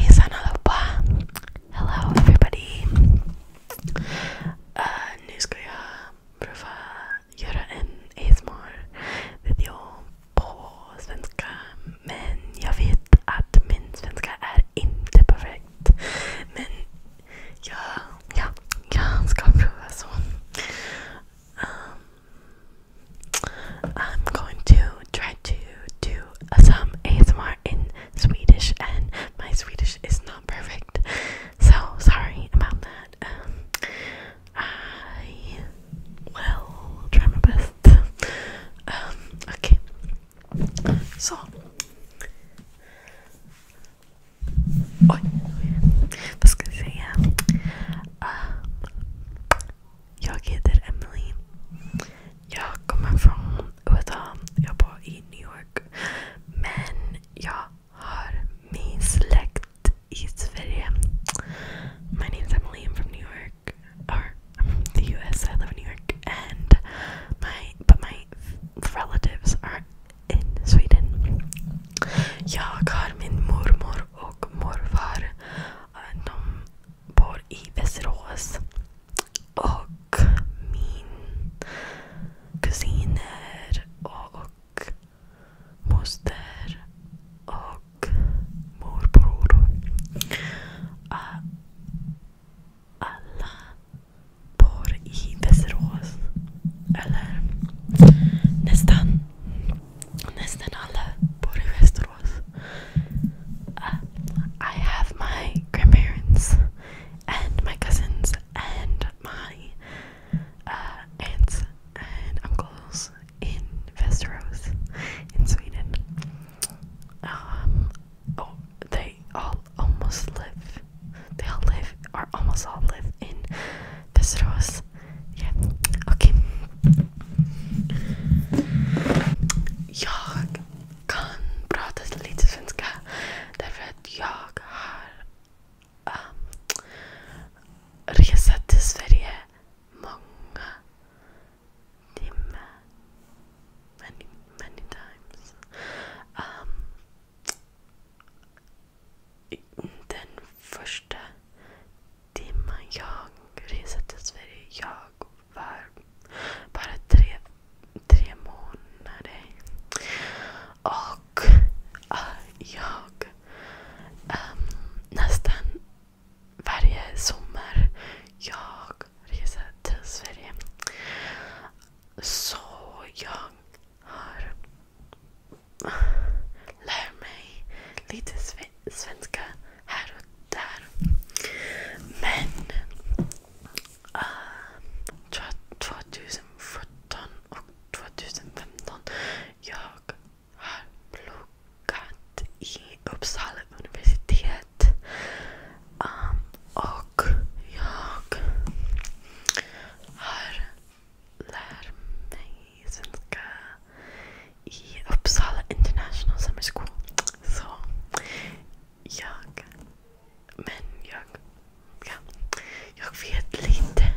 Hejsan allihopa! Hello everybody! Uh, nu ska jag prova göra en ASMR-video på svenska. Men jag vet att min svenska är inte perfekt. Men jag, ja, jag ska prova så. um, I'm going to try to do some ASMR in Swedish, and my Swedish is not perfect, so sorry about that. Um, I will try my best. Um, okay, so Oi, gonna say yeah. Um, jag heter Emily. Jag kommer från USA. Jag bor i New York. Men jag har min släkt i Sverige. My name is Emily. I'm from New York. I'm from the US. I live in New York. And my but my relatives are in Sweden. Jag har min mormor och morfar. De bor i Västerås. Och min kusiner och, och moster och morbror. Alla bor i Västerås. eller nästan nästan alla bor i Västerås. Uh, I have my grandparents and my cousins and my uh, aunts and uncles in Västerås in Sweden. Um, oh, they all almost live they all live, or almost all live, in Pesros. Yeah. Okay. Jag kan prata lite svenska därför att jag har um, resa till Sverige många timmar. Many, many den första timman jag reste till Sverige, jag var bara tre, tre månader. Och ah, jag ähm, nästan varje sommar jag reser till Sverige. Så jag har lär mig lite svenska här och där. Men uh, ah, 2017 och 2015 jag har pluggat i Uppsala universitet. Um, och jag har lär mig svenska i Uppsala International Summer School. Så jag... Men jag... Ja, jag vet lite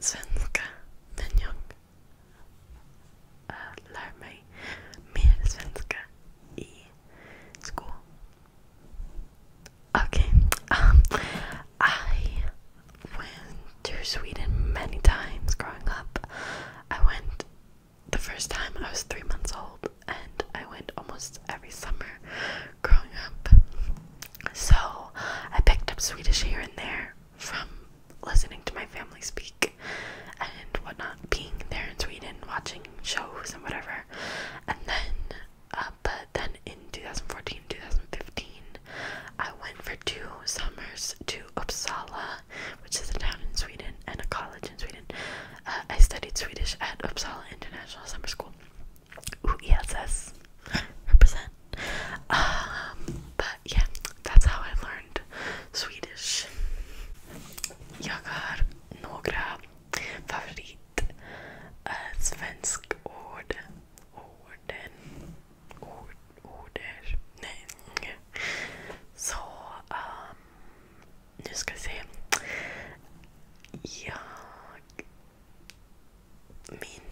svenska. Men jag äh, lär mig mer svenska i skolan. Okay, um, I went to Sweden many times growing up. I went the first time I was three months old, and I went almost every summer growing up. So I picked up Swedish here and there from listening to my family speak and whatnot, being there in Sweden, watching shows and whatever. And then uh, but then in 2014, 2015, I went for two summers to Uppsala, which is a town in Sweden and a college in Sweden. Uh, I studied Swedish at Uppsala International Summer School. Ooh, ESS represent. Um, but yeah, that's how I learned Swedish. Jag har några ett äh, svenskt ord. Orden. Ord, order. Nej. Så, um, nu ska vi se. Jag... Min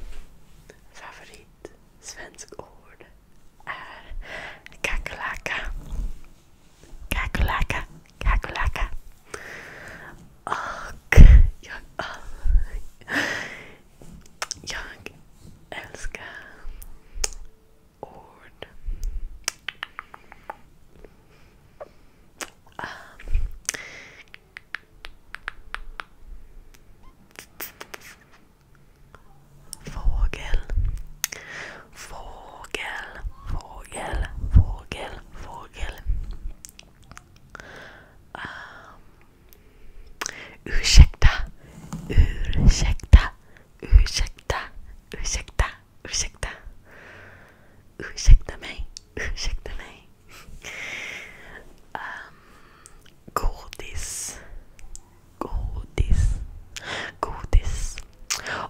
favorit svensk ord är kakalaka. Kakalaka, kakalaka. Och jag, jag älskar ord. fågel. Fågel, fågel, fågel, fågel ursäkta, ursäkta, ursäkta, ursäkta, ursäkta. Ursäkta mig, ursäkta mig. Um, godis, godis, godis.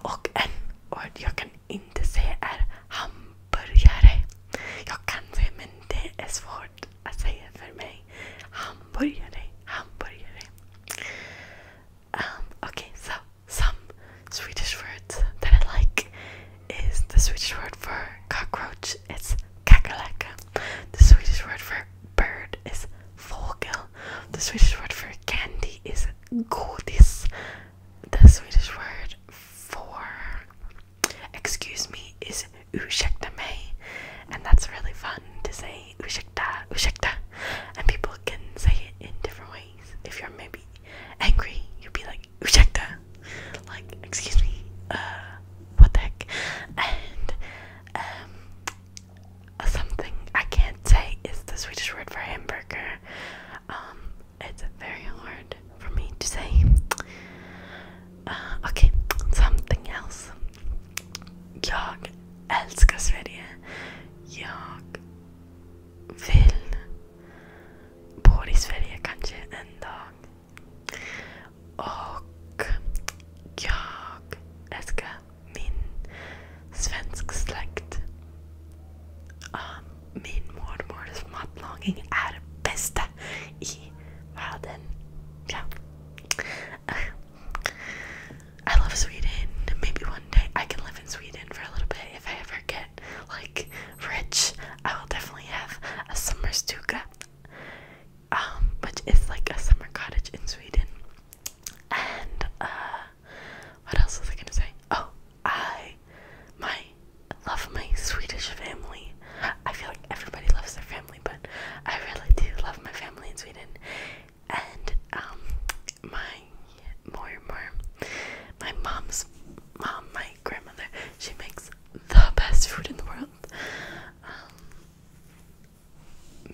Och en ord jag kan inte säga är hamburgare. hamburgare. Jag kan säga men det är svårt att säga för mig. Hamburgare, hamburgare. Um, okay, so some Swedish words that I like is the Swedish word for cockroach. It's kakalaka. The Swedish word for bird is fågel. The Swedish word for candy is godis the Swedish word for excuse me is ursäkta me, and that's really fun to say ursäkta, ursäkta, and people can say it in different ways. If you're maybe angry, you'd be like ursäkta, like excuse me, uh, what the heck, and um. Something I can't say is the Swedish word for hamburger. Um, it's very hard for me to say. Uh, okay. something else. Jag älskar Sverige. Jag vill bo i Sverige kanske en dag. Och jag älskar min svensk släkt. Um, min mormors matlagning er beste i verden. Yeah. I love Sweden. Maybe one day I can live in Sweden for a little bit if I ever get like rich. I will definitely have a summer stuga, um, which is like a summer cottage in Sweden. And uh, what else was I gonna say? Oh, I, my, love my Swedish family. I feel like everybody loves their family, but I really do love my family in Sweden. And um, my more more, my mom's mom, my grandmother, she makes the best food in the world. Um,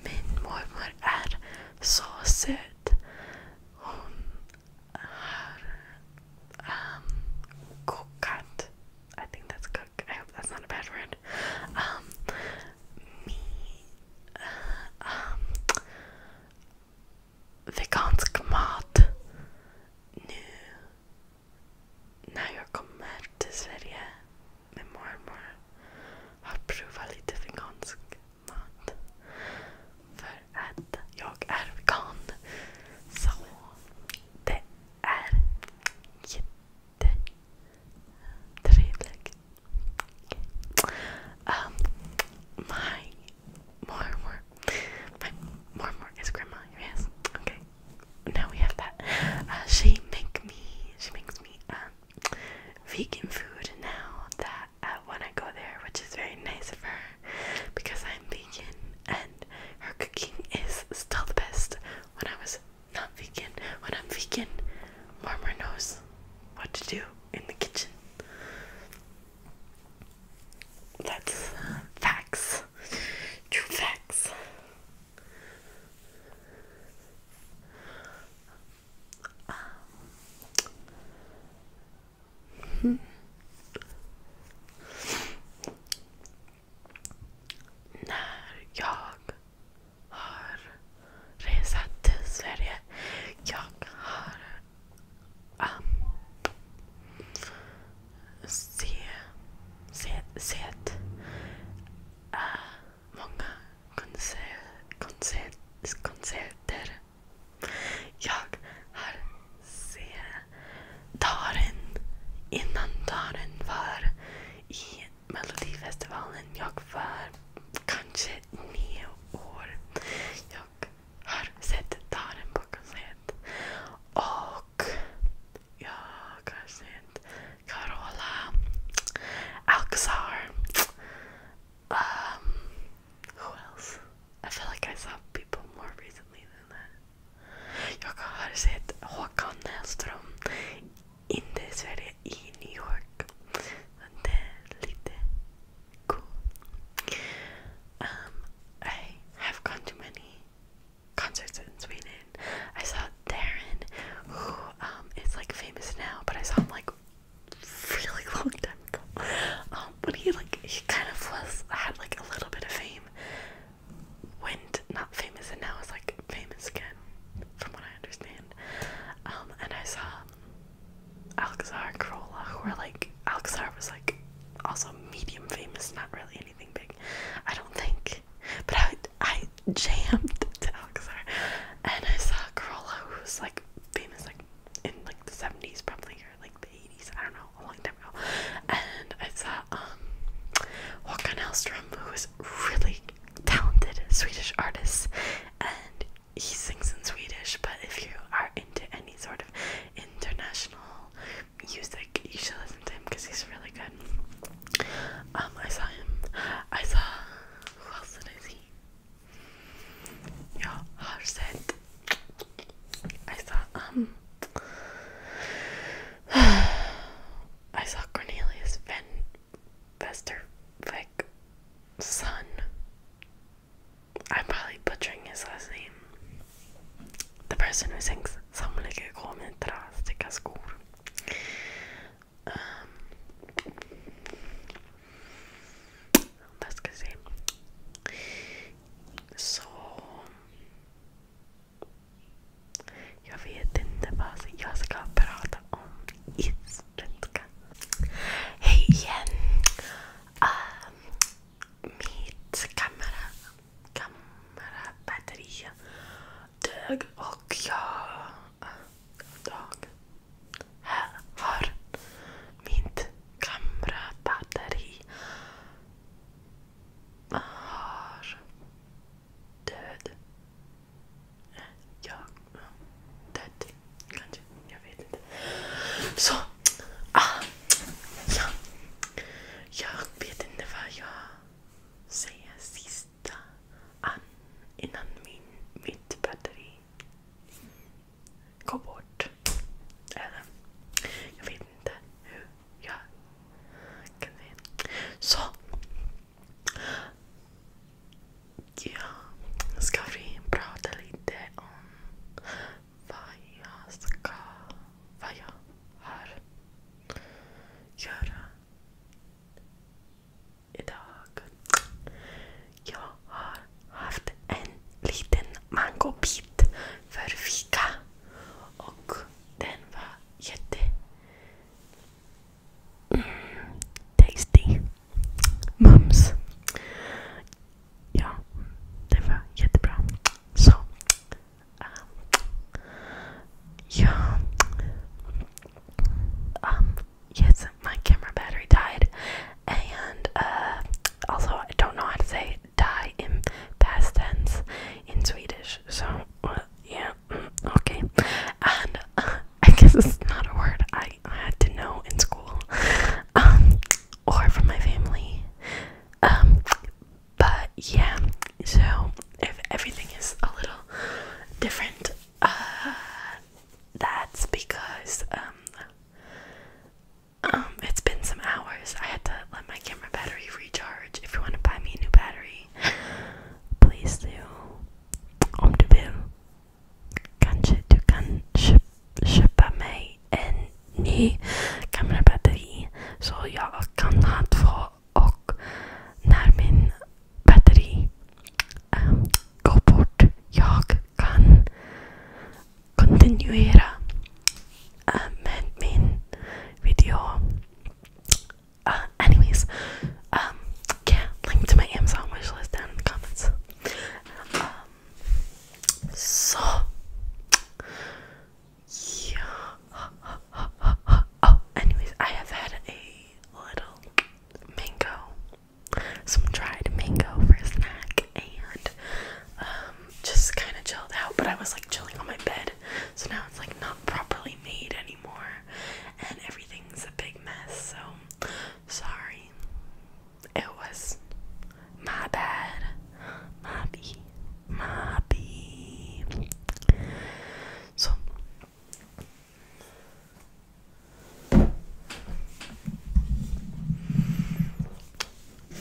min mormor är så söt uh, um, I think that's cook. I hope that's not a bad word. Um, me, uh, um, vegansk mat. Nu, när jag kommer till Sverige med mormor har provat lite vegansk mat för att jag är vegan. Så det är jättetrevligt. Um, my mormor. My mormor is grandma, yes. Okay. Now we have that. Uh, she make me she makes me um vegan food now that uh, when I go there, which is very nice of her because I'm vegan and her cooking is still the best when I was not vegan. When I'm vegan, Warmer knows what to do in the kitchen. That's facts. True facts. När jag har resat till Sverige. Jag har um, sett uh, många konserter jag har sett Darin innan Darin var i Melodifestivalen. Jag var kanske nio år. Jag har sett Darin på kassett. Och jag har sett Carola Alcazar. Um, who else? I feel like I saw people more recently than that. Jag har sett Håkan Hellström inte i Sverige, i New York. Men det är cool. Um, I have gone to many concerts in Sweden. I saw Darren, who um, is like famous now, but I saw him like really long time back. Um, but he like he kind of was had like a little bit of fame. Went not famous and now is like famous again, from what I understand. Um, and I saw Alcazar and Corolla who were like Alcazar was like also medium famous, not really anything big. I don't think. But I I jammed to Alcazar and I saw Corolla who was like famous like in like the seventies probably or like I don't know, a long time ago. And I saw um, Håkan Hellström, who is really talented Swedish artist, and he sings in Swedish. But if you are into any sort of international music, you should listen to him because he's really good. Um, I saw him. I saw who else did I see? Yeah, Harset. I saw um I saw Cornelius Ven Vestervik son. I'm probably butchering his last name. The person who sings Samlike kommer drastiska skor. Um, Jag ska se. Så... Jag vet inte vad jag ska prata om Hej igen! Ah, mitt kamerabatteri dög och jag... dag. Här har mitt kamera, batteri. Har död. Jag död. Kanske. Jag vet inte. Så. Ah, ja. Jag vet inte vad jag säger sista an, innan min, mitt batteri Gå bort. Eller, jag vet inte hur jag kan säga. Så. Ja, ska vi prata lite om vad jag ska... Vad jag har göra idag. Jag har tasty. Mm, Mums. Ja, det var jättebra. Um, ah. ehm, yes, my camera battery died. And uh, also, I don't know how to say die in past tense in Swedish. So, uh, yeah, mm, okay. And uh, I guess it's not a word I had to know in school um, or from my family. Um, but yeah, so if everything is a little different, uh, that's because um, um, it's been some hours. I had to let my camera battery recharge. If you want to buy me a new battery, please do. Om du vill. Kanske du kan köpa mig en ny kamerabatteri så jag kan ha två och när min batteri um, går bort jag kan continuera uh, video. anyways, um, yeah, link to my Amazon wishlist down in the comments. Um, so, yeah. Oh, anyways, I have had a little mango, some dried mango for a snack, and um, just kind of chilled out, but I was like chilling on my bed, so now it's like not properly made anymore, and everything's a big mess. So sorry, it was my bad, my bee, my bee. So.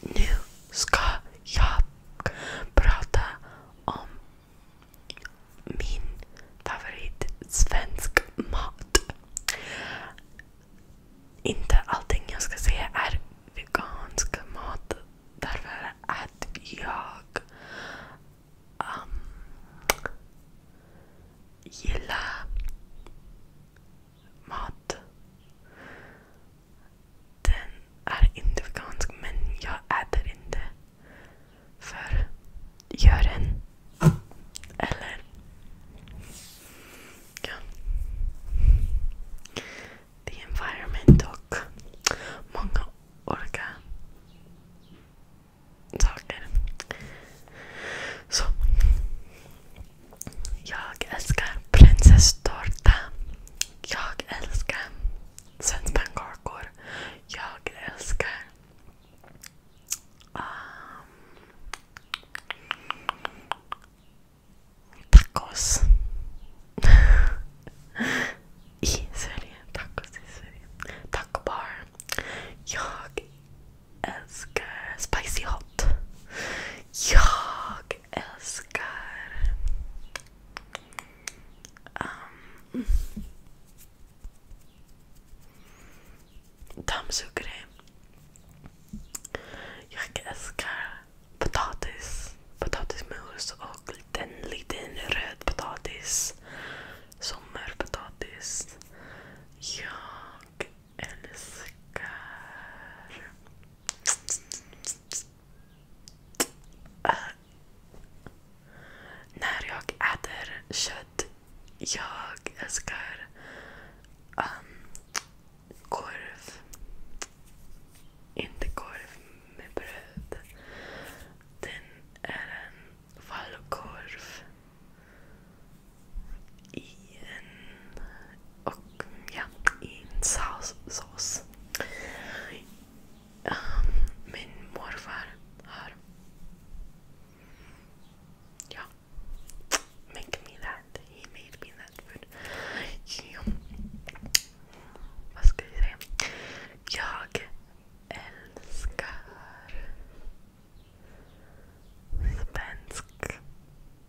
Nu ska jag prata om min favorit svensk mat. Inte allting jag ska säga är vegansk mat. Därför att jag um, gillar mat. Den är inte vegansk men jag äter inte. För djuren. Eller... Ja. The environment och många olika saker. Så. Jag älskar prinsesstårta. Jag älskar svenskpannkakor. Jag älskar... Um, tacos. I Sverige. Tacos i Sverige. Taco bar. Jag älskar spicy hot. Jag älskar... Um, dammsugare. Jag älskar potatis. Potatismos och en liten röd potatis. Sommarpotatis. Jag älskar... När jag äter kött, jag älskar um, korv. Inte korv med bröd. Den är en falukorv i en och ja, i en sås. Ehm, min morfar har ja, mycket middag. Vad ska jag säga? Jag älskar svensk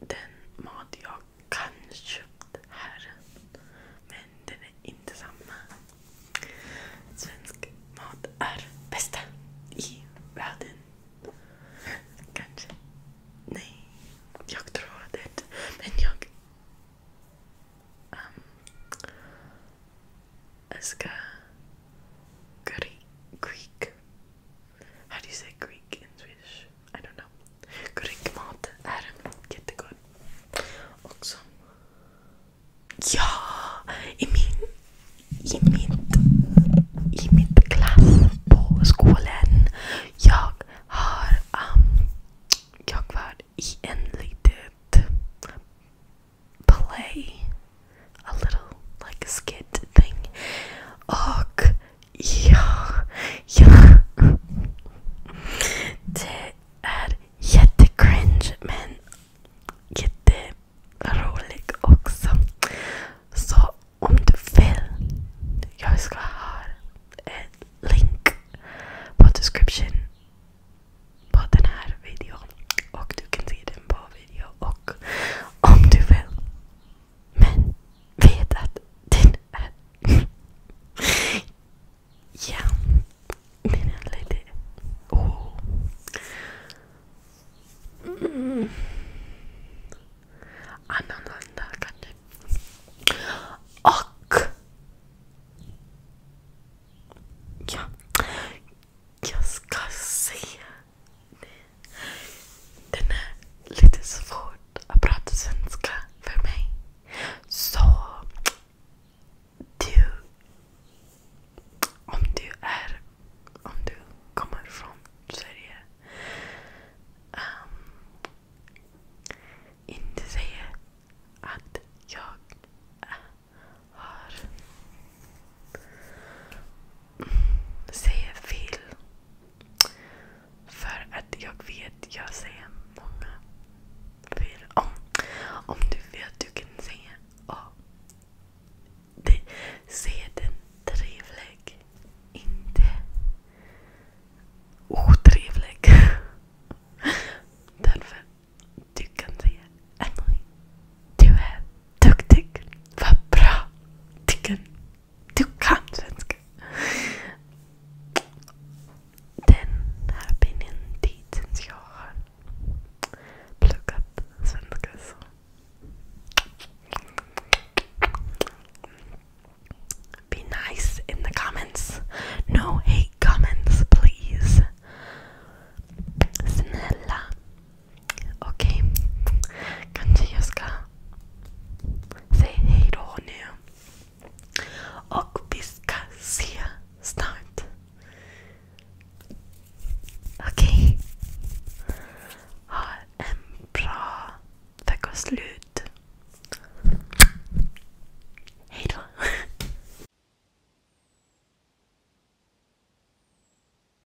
den mat jag kanske köpt här. Men den är inte samma. Svensk mat är bästa i världen. Kanske. Nej, jag tror det. Men jag älskar curry, quick How do you say Greek in Swedish? I don't know. Grekmat är jättegod. Också. Ja, i min, i mitt, i mitt klass på skolan. Jag har, um, jag var i en litet play a little like skit thing. Och, er, ja, ja. Det är jättecringe men jätterolig också. Så om du vill, jag ska ha en länk på description på den här videon och du kan se på video och om du vill Men vet att den är... ja. Min är lite... Oh. Mm. Annorlunda kanske. Och... Ja. Jag ska se Den är lite svårt att prata svenska för mig. Så du, om du är, er, om du kommer från Sverige, um, ehm, inte säga att jag har säger fel. För att jag vet, jag säger många fel. Om, om du vet, du kan säga A. Det, säg den trevlig. Inte otrevlig. Därför, du kan säga Emily. Du är duktig. Vad bra. Tycker du kan svenska. Den har been tiden jag har pluggat svenska. Be nice in the comments. No hate comments, please. Snälla, Okej, okay. kanske jag ska säga hej då nu. Och vi ska se snart. Okej. Okay. Ha en bra veckoslut. Hej då.